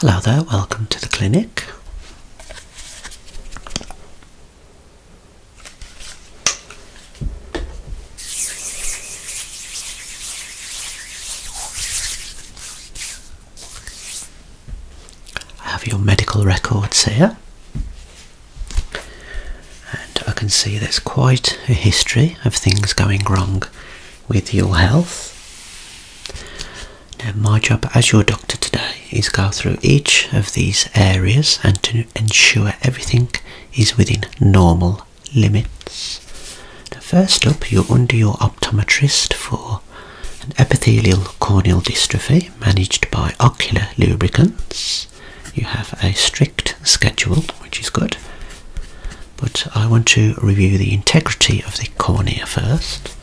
Hello there, welcome to the clinic. I have your medical records here, and I can see there's quite a history of things going wrong with your health. Now, my job as your doctor today is go through each of these areas and to ensure everything is within normal limits. Now, first up, you're under your optometrist for an epithelial corneal dystrophy managed by ocular lubricants. You have a strict schedule, which is good. But I want to review the integrity of the cornea first.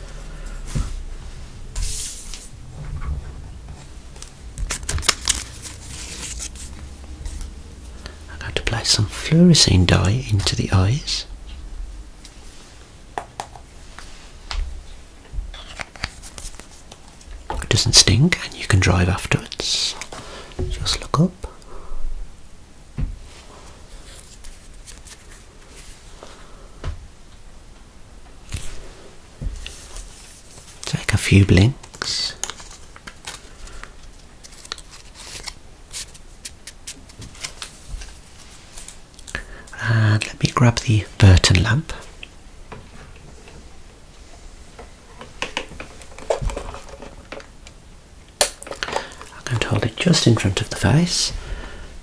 I'm going to place some fluorescein dye into the eyes. It doesn't stink and you can drive afterwards. Just look up. Take a few blinks. And let me grab the Burton lamp. I'm going to hold it just in front of the face.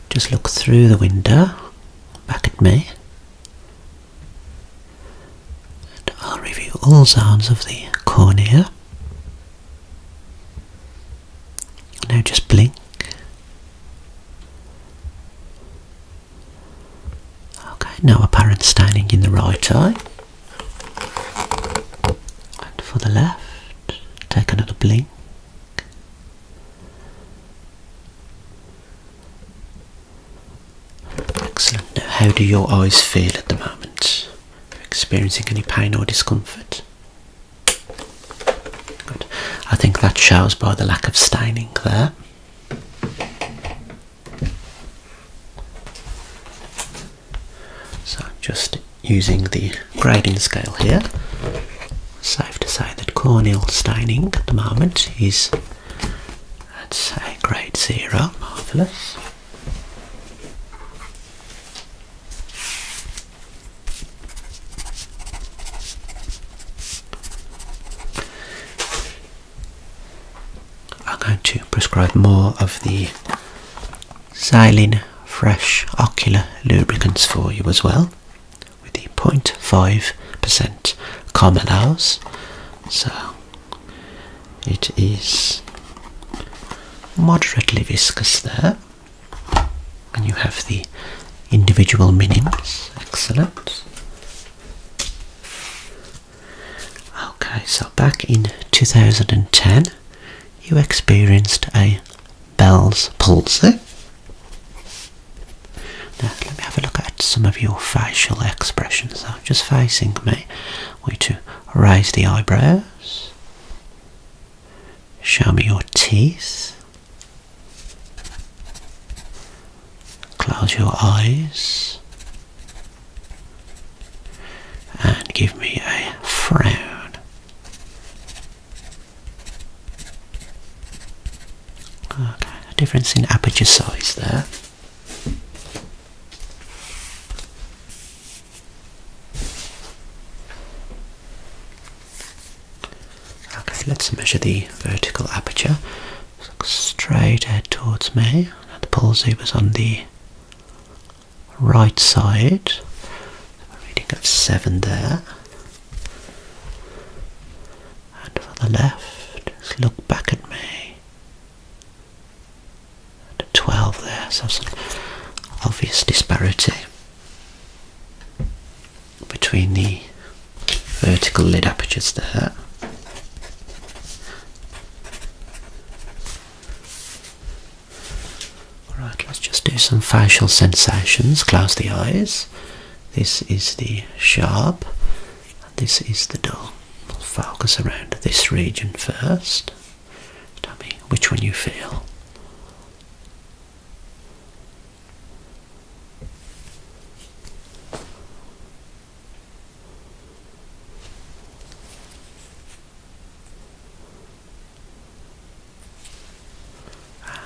Just look through the window back at me. And I'll review all zones of the cornea. Now just blink. Okay, no apparent staining in the right eye. And for the left, take another blink. Excellent. how do your eyes feel at the moment? experiencing any pain or discomfort? Good. I think that shows by the lack of staining there. So I'm just using the grading scale here. Safe to say that cornel staining at the moment is, let's say, grade zero. Marvellous. I'm going to prescribe more of the xylene fresh ocular lubricants for you as well with the 0.5% common So it is moderately viscous there. And you have the individual minims. Excellent. Okay, so back in 2010, you experienced a Bell's palsy. Now, let me have a look at some of your facial expressions. So, just facing me, I want you to raise the eyebrows, show me your teeth, close your eyes, and give me a frown. Okay, a difference in aperture size there. Okay, let's measure the vertical aperture. straight head towards me. The palsy was on the right side. A reading of 7 there. And for the left, just look back at me. And 12 there, so some obvious disparity between the vertical lid apertures there. Alright, let's just do some facial sensations. Close the eyes. This is the sharp, and this is the dull. focus around this region first. Tell me which one you feel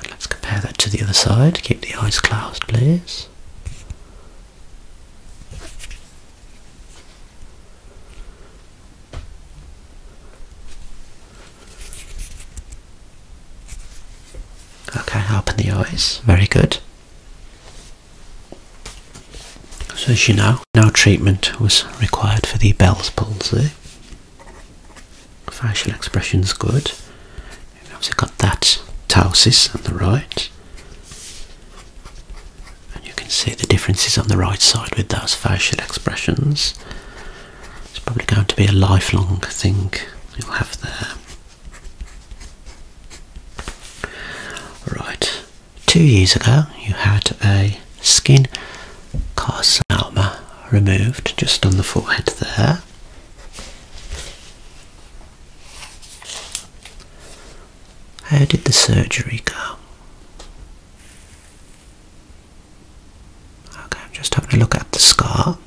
let's compare that to the other side. Keep the eyes closed, please. Okay, open the eyes. Very good. So as you know, no treatment was required for the Bell's palsy. Facial expression is good. We've obviously got that ptosis on the right. And you can see the differences on the right side with those facial expressions. It's probably going to be a lifelong thing you'll have there. Right, two years ago you had a skin carcinoma removed just on the forehead there. How did the surgery go? Okay, I'm just having a look at the scar.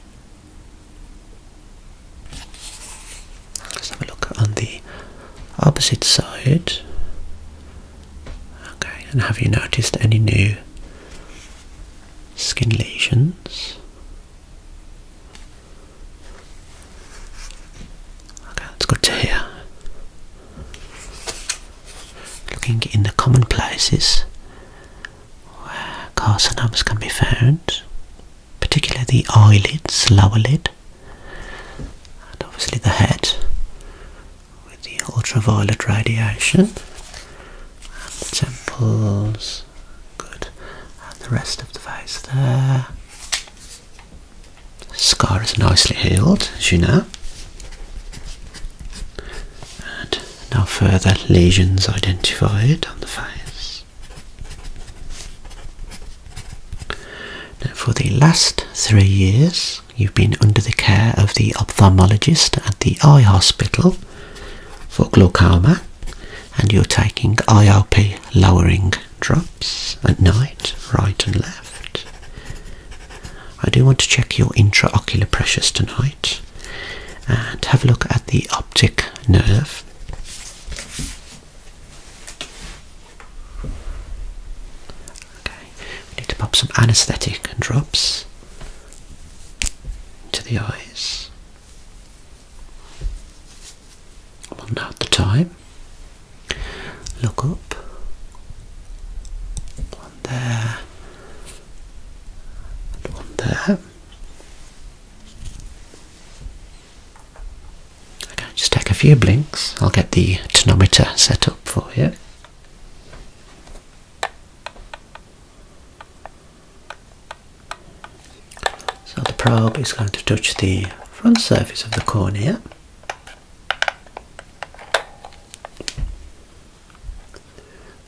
Let's have a look on the opposite side. Okay, and have you noticed any new skin lesions? Okay, that's good to hear. Looking in the common places where carcinomas can be found, particularly the eyelids, lower lid, and obviously the head with the ultraviolet radiation and the temples good and the rest of the face there scar is nicely healed as you know and now further lesions identified on the face for the last three years, you've been under the care of the ophthalmologist at the eye hospital for glaucoma and you're taking IOP lowering drops at night, right and left. I do want to check your intraocular pressures tonight and have a look at the optic nerve. Okay, we need to pop some anaesthetic drops into the eyes. One note the time. Look up. One there. And one there. Okay, just take a few blinks. I'll get the tonometer set up for you. So the probe is going to touch the front surface of the cornea.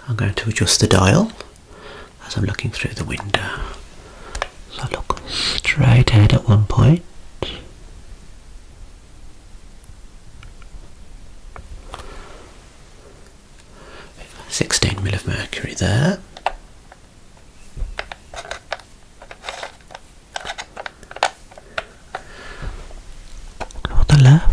I'm going to adjust the dial as I'm looking through the window. So look straight ahead at one point. Sixteen mil of mercury there. On the left.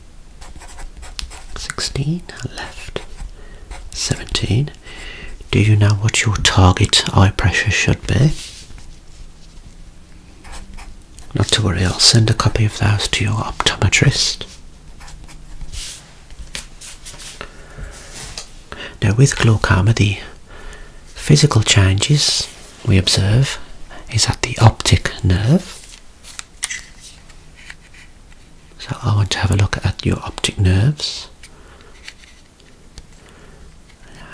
16 left 17 do you know what your target eye pressure should be not to worry i'll send a copy of those to your optometrist now with glaucoma the physical changes we observe is at the optic nerve so I want to have a look at your optic nerves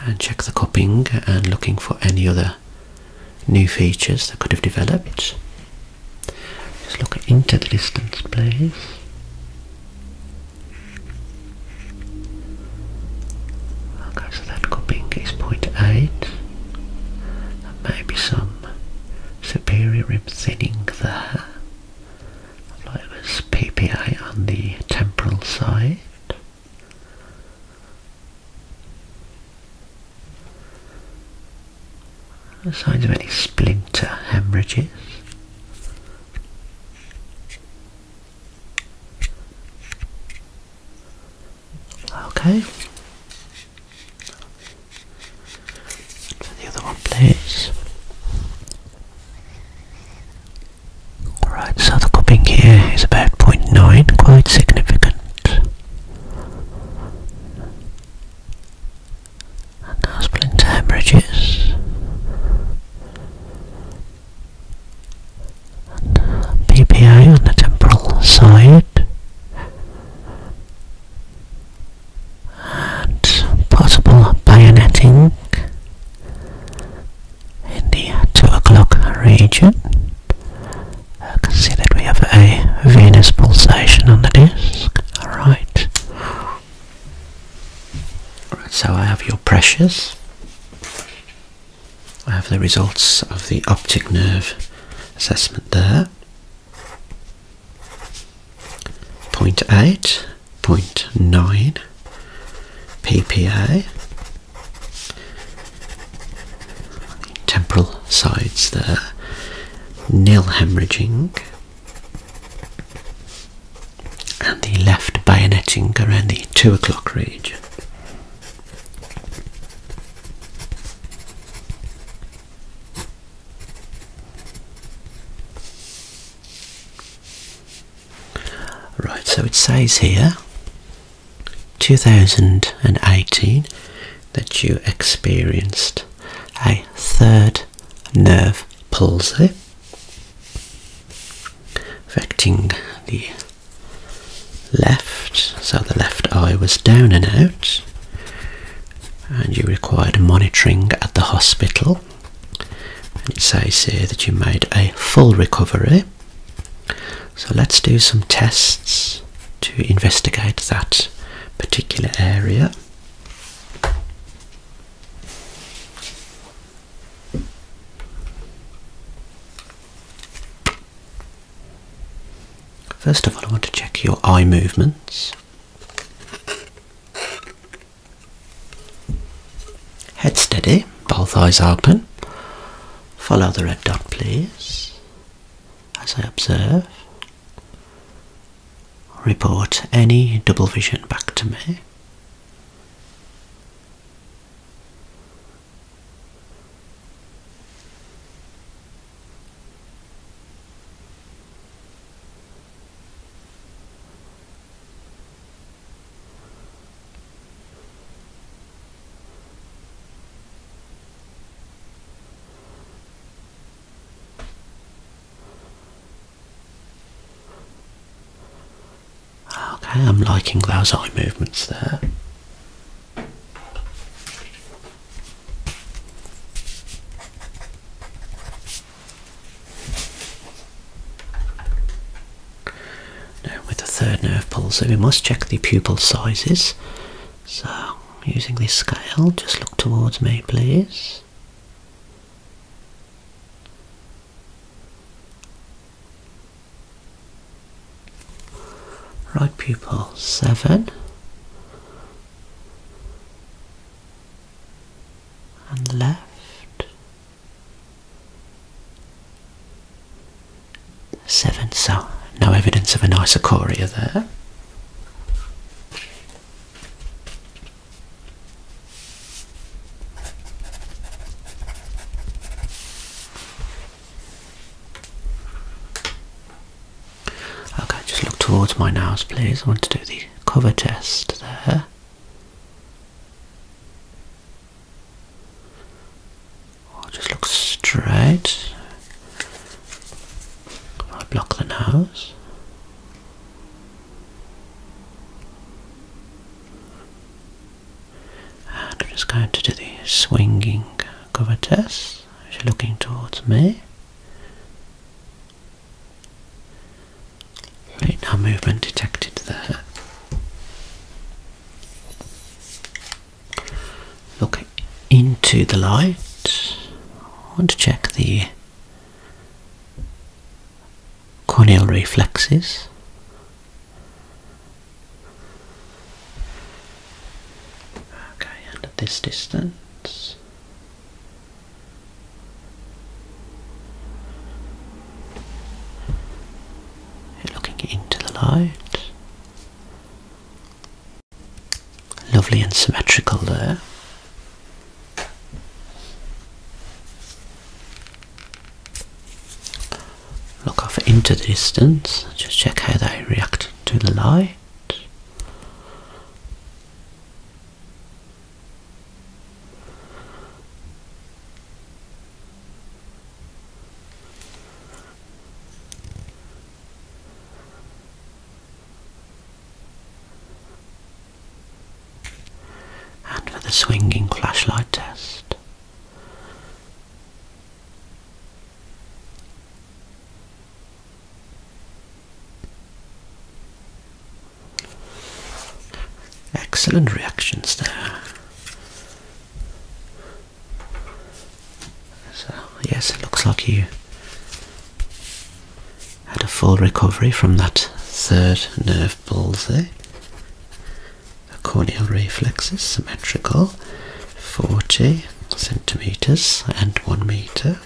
and check the copying and looking for any other new features that could have developed. Just look into the distance please. Okay, so that copying is 0.8. There may be some Superior thinning the like this PPA on the temporal side. No signs of any splinter hemorrhages. Okay, for the other one, please. Alright, so the cupping here is about 0.9, quite significant. And now splinter hemorrhages. And uh, PPA on the temporal side possible bayonetting in the 2 o'clock region. I can see that we have a venous pulsation on the disc. Alright. Right, so I have your pressures. I have the results of the optic nerve assessment there. Point 0.8, point 0.9 ppa. temporal sides there. Nil hemorrhaging. And the left bayonetting around the 2 o'clock region. Right, so it says here 2018 that you experienced a third nerve palsy affecting the left, so the left eye was down and out and you required monitoring at the hospital. it says here that you made a full recovery. So let's do some tests to investigate that particular area. First of all, I want to check your eye movements. Head steady, both eyes open. Follow the red dot, please, as I observe. Report any double vision back to me. Okay, I'm liking those eye movements there. Now with the third nerve pulsar we must check the pupil sizes. So using this scale just look towards me please right pupil seven and left seven. So no evidence of an isochoria there. Okay, just look towards my nose, please. I want to do the cover test there. just look straight. I block the nose. And I'm just going to do the swinging cover test. She's looking towards me? No movement detected there. Look into the light. I want to check the corneal reflexes. Okay, and at this distance. looking into the light. Lovely and symmetrical there. Look off into the distance, just check how they react to the light. And for the swinging flashlight test, Excellent reactions there. So, yes, it looks like you had a full recovery from that third nerve palsy. corneal reflexes symmetrical. 40 centimeters and 1 meter.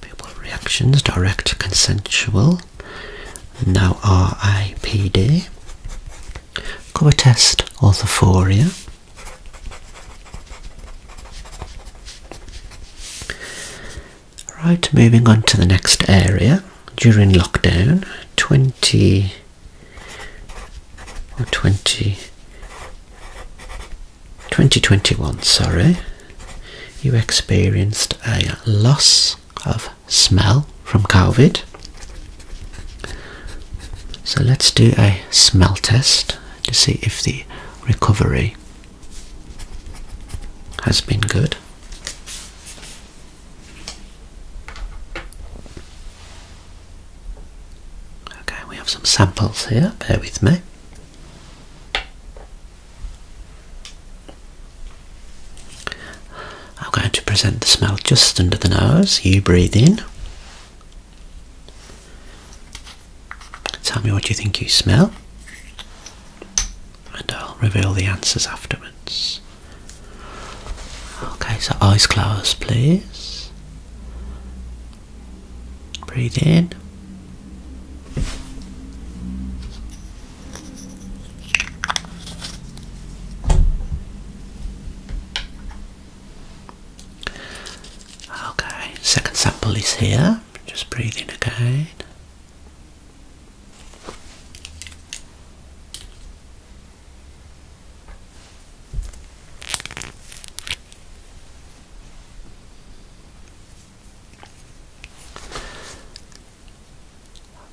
People reactions, direct consensual, now RIPD, cover test orthophoria. Right, moving on to the next area. During lockdown, 20 or 2021, sorry, you experienced a loss of smell from COVID. So let's do a smell test to see if the recovery has been good. Okay, we have some samples here, bear with me. I'm going to present the smell just under the nose. You breathe in. Tell me what you think you smell, and I'll reveal the answers afterwards. Okay, so eyes closed, please. Breathe in. Okay, second sample is here. Just breathe in again.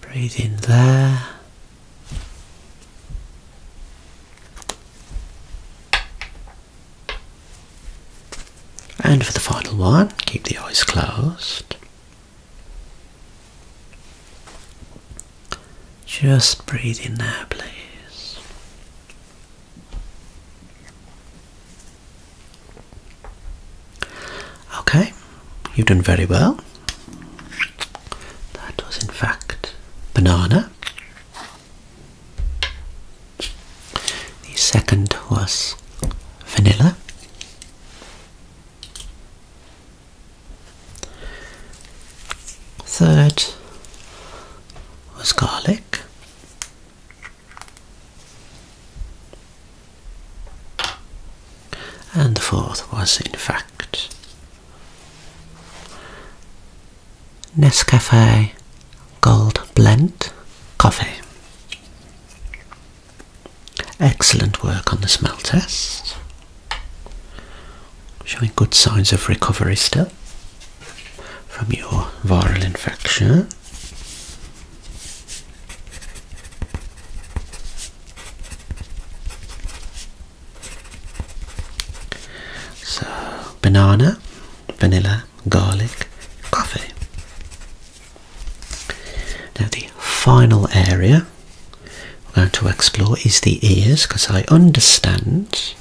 Breathe in there. And for the final one, keep the eyes closed. Just breathe in now, please. Okay, you've done very well. That was, in fact, banana. The second was vanilla. Third was garlic. And the fourth was, in fact, Nescafe Gold Blend Coffee. Excellent work on the smell test. Showing good signs of recovery still from your viral infection. So, banana, vanilla, garlic, coffee. Now, the final area here we're going to explore is the ears because I understand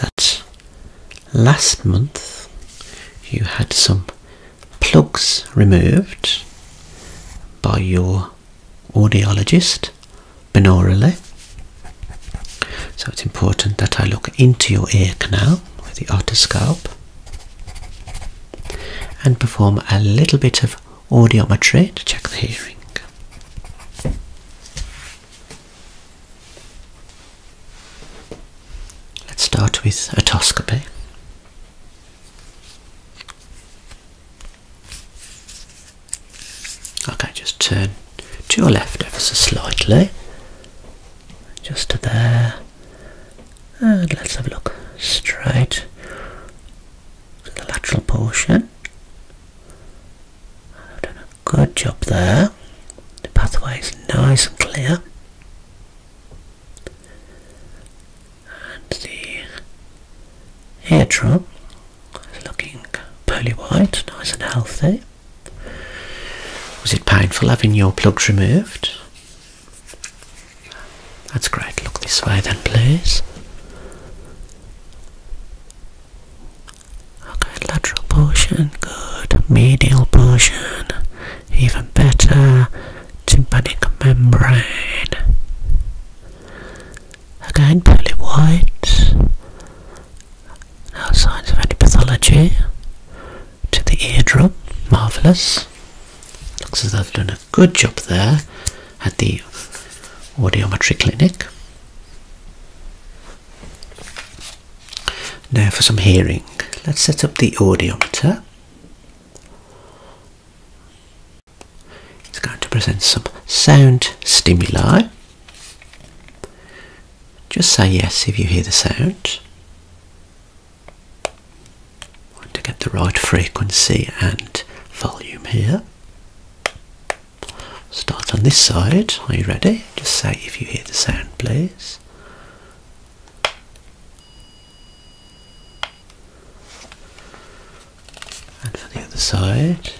that last month you had some plugs removed by your audiologist binaurally. So it's important that I look into your ear canal with the otoscope and perform a little bit of audiometry to check the hearing. Let's start with otoscopy. Okay, just turn to your left ever so slightly, just to there, and let's have a look straight the lateral portion. good job there. The pathway is nice and clear. And the eardrum is looking pearly white, nice and healthy. Was it painful having your plugs removed? That's great. Look this way then, please. Okay, lateral portion, good. Medial portion, even better. Tympanic membrane. Again, pearly white. No signs of any pathology. To the eardrum, marvellous. Looks as though they've done good job there at the audiometry clinic. Now for some hearing. Let's set up the audiometer. It's going to present some sound stimuli. Just say yes if you hear the sound to get the right frequency and volume here. Start on this side. Are you ready? Just say if you hear the sound, please. And for the other side.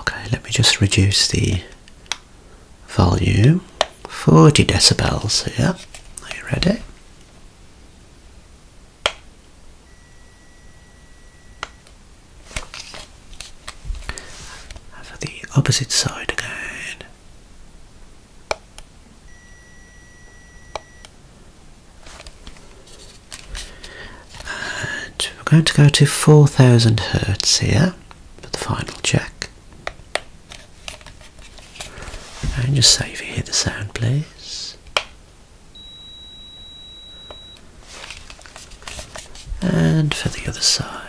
Okay, let me just reduce the volume. 40 decibels here. Are you ready? Over the opposite side again. And we're going to go to 4000 hertz here for the final check. And just say if you hear the sound, please. And for the other side.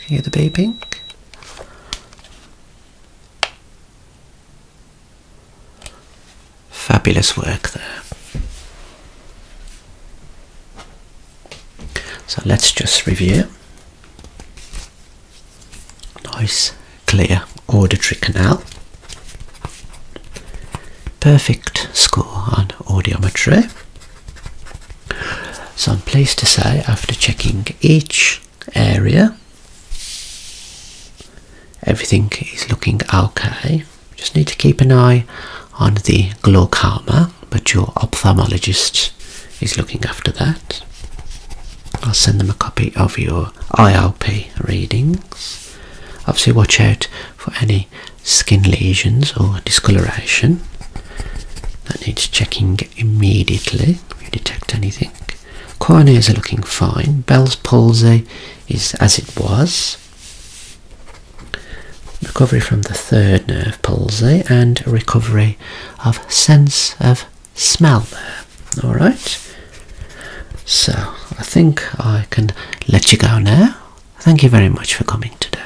Can you hear the beeping? Fabulous work there. So let's just review. Nice, clear auditory canal. Perfect score on audiometry. So I'm pleased to say after checking each area. Everything is looking okay. Just need to keep an eye on the glaucoma, but your ophthalmologist is looking after that. I'll send them a copy of your IOP readings. Obviously, watch out for any skin lesions or discoloration that needs checking immediately detect anything. Coronaries are looking fine. Bell's palsy is as it was. Recovery from the third nerve palsy and recovery of sense of smell Alright? So I think I can let you go now. Thank you very much for coming today.